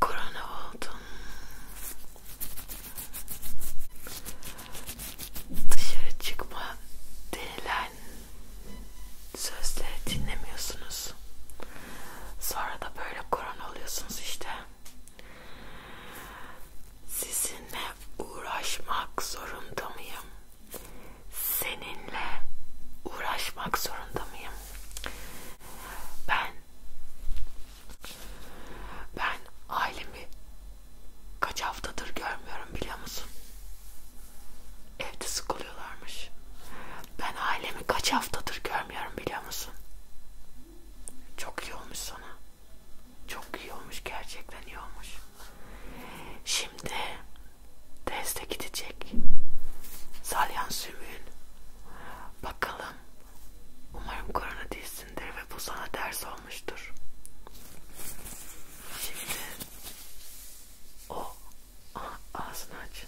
korona oldum. Dışarı çıkma denilen sözleri dinlemiyorsunuz. Sonra da böyle korona oluyorsunuz işte. Sizinle uğraşmak zorunda mıyım? Seninle uğraşmak zorunda mıyım? Ben ben ailemi kaç haftadır görmüyorum biliyor musun? Evde sıkılıyorlarmış. Ben ailemi kaç haftadır görmüyorum biliyor musun? Çok iyi olmuş sana. Çok iyi olmuş gerçekten iyi olmuş. Şimdi teste gidecek. Salyan sümüğün Bakalım. Umarım korona değilsindir ve bu sana ders olmuştur. Şimdi o Aha, ağzını aç.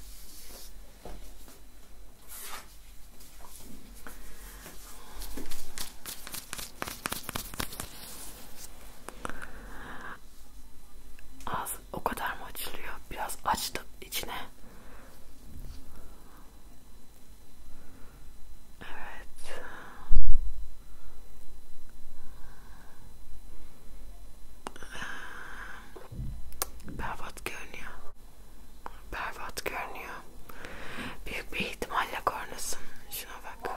Ağzın o kadar mı açılıyor? Biraz açtım içine. Evet. Berbat görünüyor. Berbat görünüyor. Büyük bir ihtimalle kornasın. Şuna bak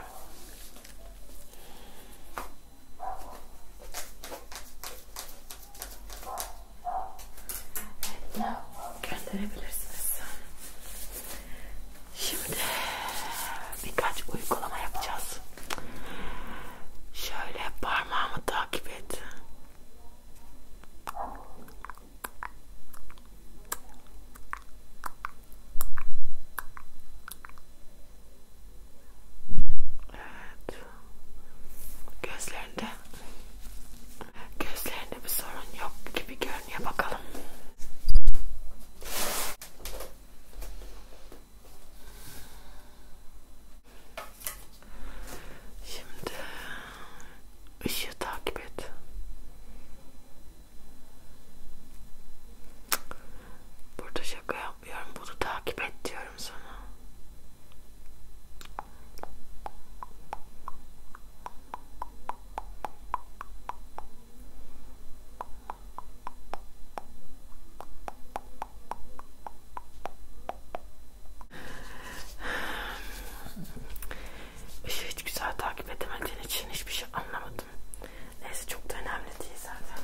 gönderebilirsiniz. Şimdi birkaç uygulama yapacağız. Şöyle parmağımı takip et. Evet. Gözlerinde gözlerinde bir sorun yok gibi görünüyor bakalım. Şimdi ışığı takip et. Burada şaka yapmıyorum. Bunu takip et diyorum sana. İşi şey hiç güzel takip edemediğin için hiçbir şey anlamadım. Neyse çok da önemli değil zaten.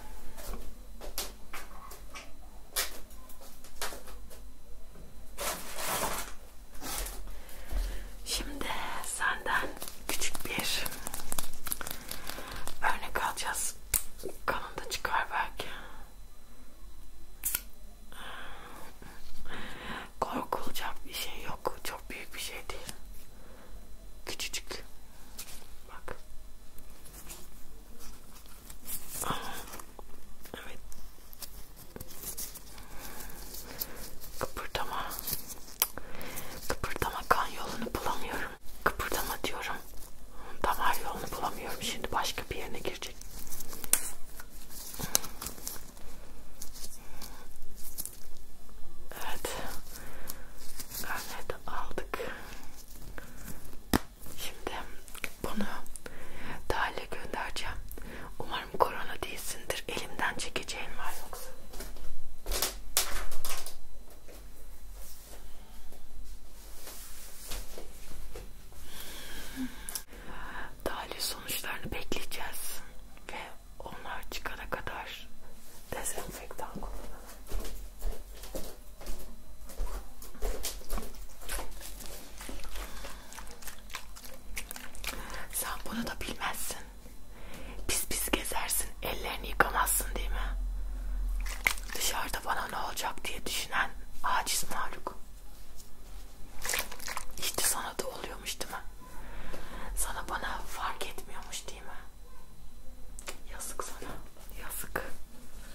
Şimdi senden küçük bir örnek alacağız. Kanında çıkar belki. Korkulacak bir şey yok. Çok büyük bir şey değil. Küçücük. Bak. Evet. Kıpırdama. Kıpırdama kan yolunu bulamıyorum. Kıpırdama diyorum. Damar yolunu bulamıyorum. Şimdi başka bir yerine girecek. Evet. Örneği aldık. Şimdi bunu Dahil'e göndereceğim. Umarım korona değilsindir. Elimden çekeceğin var yoksa. Dahil sonuçlarını bekleyeceğiz. Ve onlar çıkana kadar dezenfektan kullanalım. Sen bunu da bilmezsin. Pis pis gezersin, ellerini yıkamazsın değil mi? Dışarıda bana ne olacak diye düşünen aciz mahluk. İşte sana da oluyormuş değil mi? Sana bana fark etmiyormuş değil mi? Yazık sana, yazık.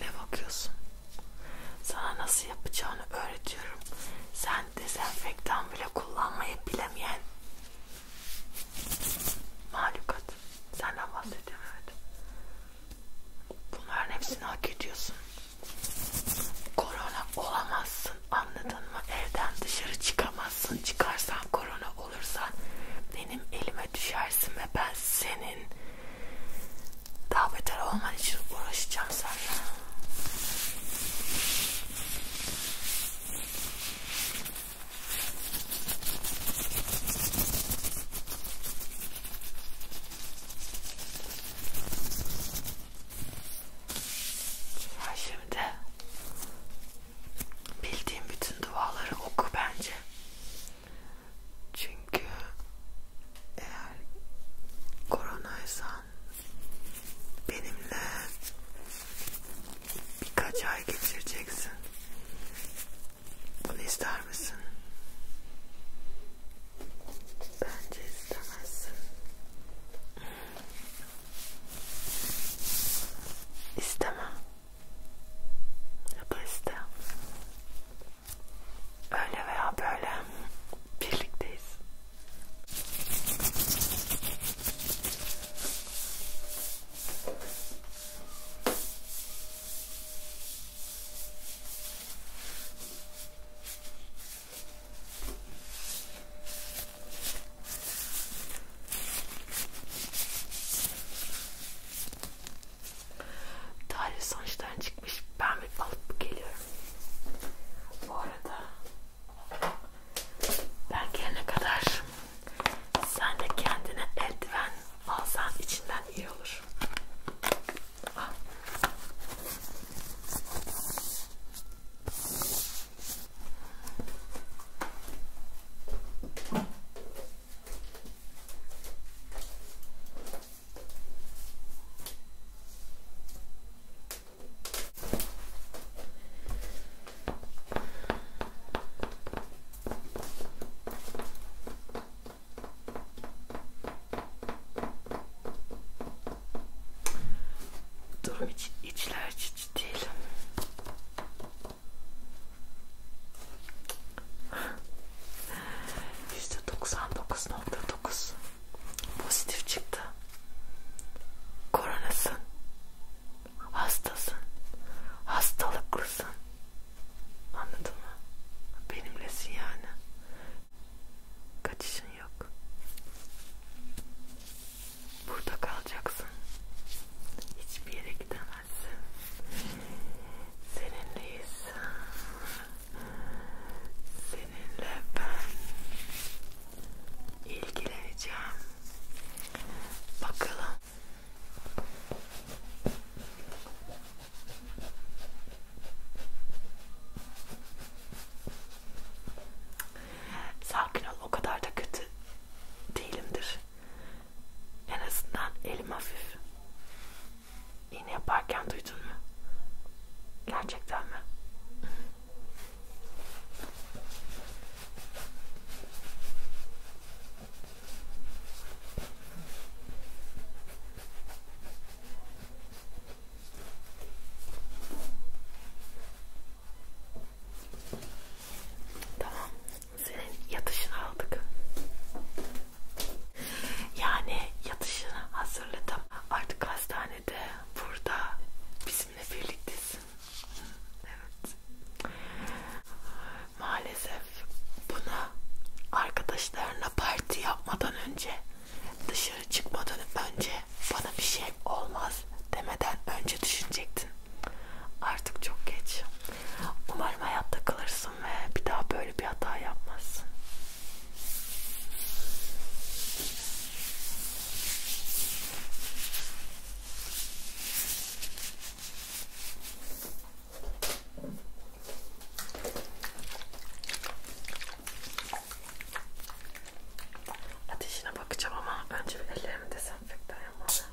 Ne bakıyorsun? Sana nasıl yapacağını öğretiyorum. Sen yani dezenfektan bile kullanmayı bilemeyen mahlukat. Senden bahsediyorum evet. Bunların hepsini hak ediyorsun. Korona olamazsın anladın mı? Evden dışarı çıkamazsın. Çıkarsan korona olursa benim elime düşersin ve ben senin daha beter olman için uğraşacağım seninle. Ya şimdi bildiğim bütün duaları oku bence. Çünkü eğer koronaysan benimle birkaç ay geçireceksin. Bunu ister misin? Bence istemezsin. İstemem. Yapar iste. Öyle veya böyle birlikteyiz. Tarih sonuçtan çıkmış. Ben bir alıp geliyorum. Bu arada ben gelene kadar sen de kendine eldiven alsan içinden iyi olur. Al. Durum iç, içler açıcı değil. %99.9 pozitif çıktı. Koronasın, hastasın, hastalıklısın. Anladın mı? Benimlesin yani. Kaçışın yok. Burada kalacaksın. Hiçbir yere gidemezsin. Seninleyiz seninle ben ilgileneceğim. Bakalım. Sakin ol, o kadar da kötü değilimdir. En azından elim hafif. İğne yaparken duydun mu? Gerçekten mi? Tamam, senin yatışını aldık. Yani yatışını hazırladım. Artık hastanede burada bizimle birliktesin. Evet. Maalesef bunu arkadaşlarına parti yapmadan önce dışarı çıkmadan önce bana bir şey olmaz demeden önce düşünecektin. Artık çok geç. Umarım hayatta kalırsın ve bir daha böyle bir hata yapmazsın. Ateşine bakacağım ama önce bir ellerimi desenfektan yapmalıyım.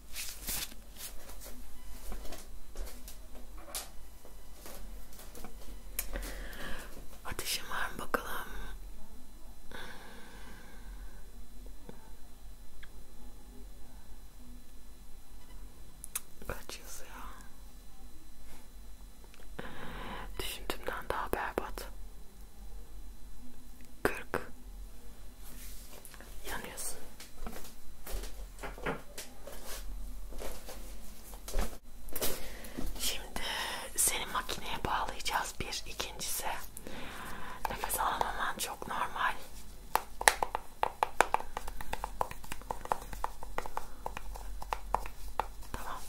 Ateşim var mı bakalım? Kaç yazı ya? Düşündüğümden daha berbat. 40 Yanıyorsun. Şimdi seni makineye bağlayacağız bir ikincisi nefes alamaman çok normal. Tamam.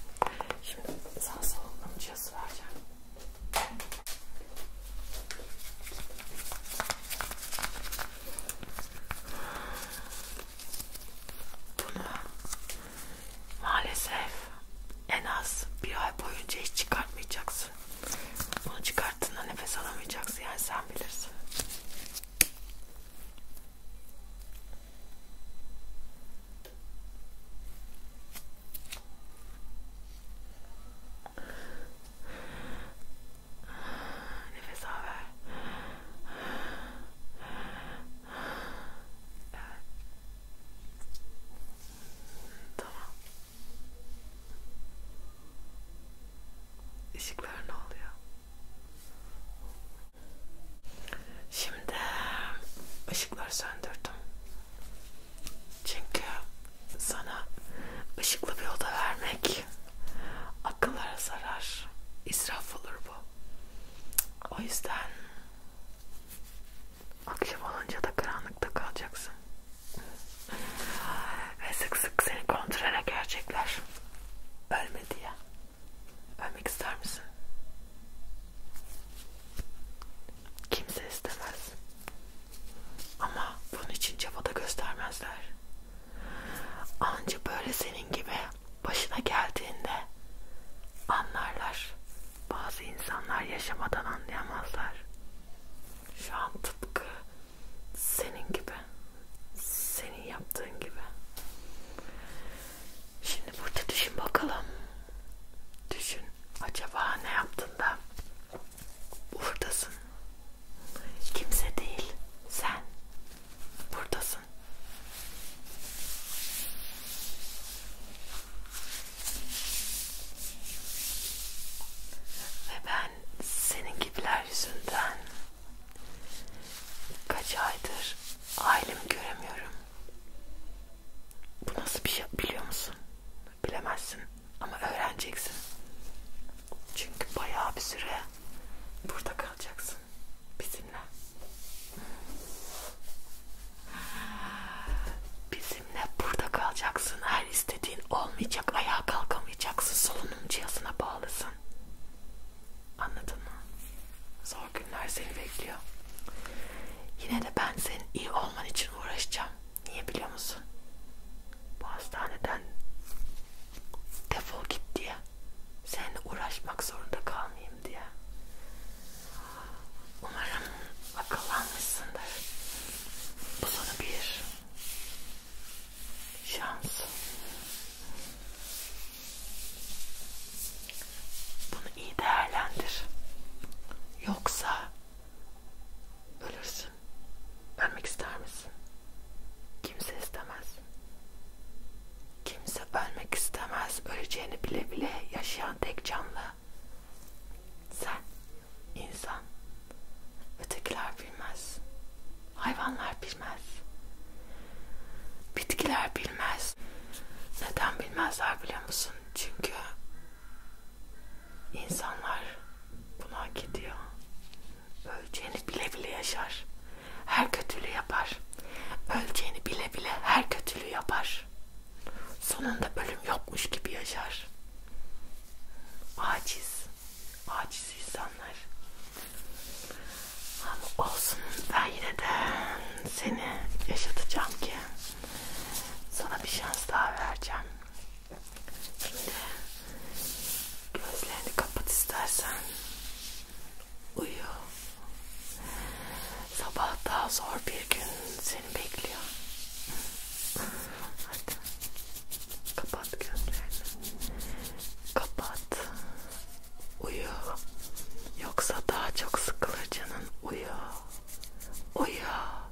Şimdi sağ solunum cihazı vereceğim. Bunu maalesef en az bir ay boyunca hiç çıkartmayacaksın. Bunu çıkarttığında nefes alamayacaksın yani sen bilirsin. Nefes al ver. Evet. Tamam. Işıklar ne oluyor? Şimdi ışıkları söndürdüm. Çünkü sana ışıklı bir oda vermek akıllara zarar israf olur bu o yüzden akşam olunca da karanlıkta kalacaksın ve sık sık seni kontrole gelecekler ölme diye ölmek ister misin? kimse istemez ama bunun için çaba da göstermezler. Anca böyle senin gibi başına geldiğinde anlarlar. Bazı insanlar yaşamadan anlayamazlar. Şu an tıpkı senin gibi. Senin yaptığın gibi. Şimdi burada düşün bakalım. Düşün. Acaba ne yaptın da buradasın. Kimse değil. Sen buradasın. Ve ben senin gibiler yüzünden kaç aydır ailemi göremiyorum. Bu nasıl bir şey biliyor musun? Bilemezsin. Ama öğreneceksin. Çünkü bayağı bir süre burada kalacaksın bizimle. Bizimle burada kalacaksın. Her istediğin olmayacak. Ayağa kalkamayacaksın. Solunum cihazına bağlısın. Anladın mı? Zor günler seni bekliyor. Yine de ben senin iyi olman için uğraşacağım. Niye biliyor musun? Bu hastaneden defol git diye. Seninle uğraşmak zorunda kalmayayım diye. Umarım akıllanmışsındır. Bu sana bir şans. Bunu iyi değerlendir. Yoksa Ölürsün. Ölmek ister misin? Kimse istemez. Kimse ölmek istemez. Öleceğini bile bile yaşayan tek canlı. Sen, insan. Ötekiler bilmez. Hayvanlar bilmez. Bitkiler bilmez. Neden bilmezler biliyor musun? Çünkü İnsanlar bunu hak ediyor. Öleceğini bile bile yaşar. Her kötülüğü yapar. Öleceğini bile bile her kötülüğü yapar. Sonunda ölüm yokmuş gibi yaşar. Aciz. Aciz insanlar. Ama olsun ben yine de seni yaşatacağım ki sana bir şans daha vereceğim. Şimdi gözlerini kapat istersen. Uyu. Sabah daha zor bir gün seni bekliyor. Hadi. Kapat gözlerini. Kapat. Uyu. Yoksa daha çok sıkılır canın. Uyu. Uyu.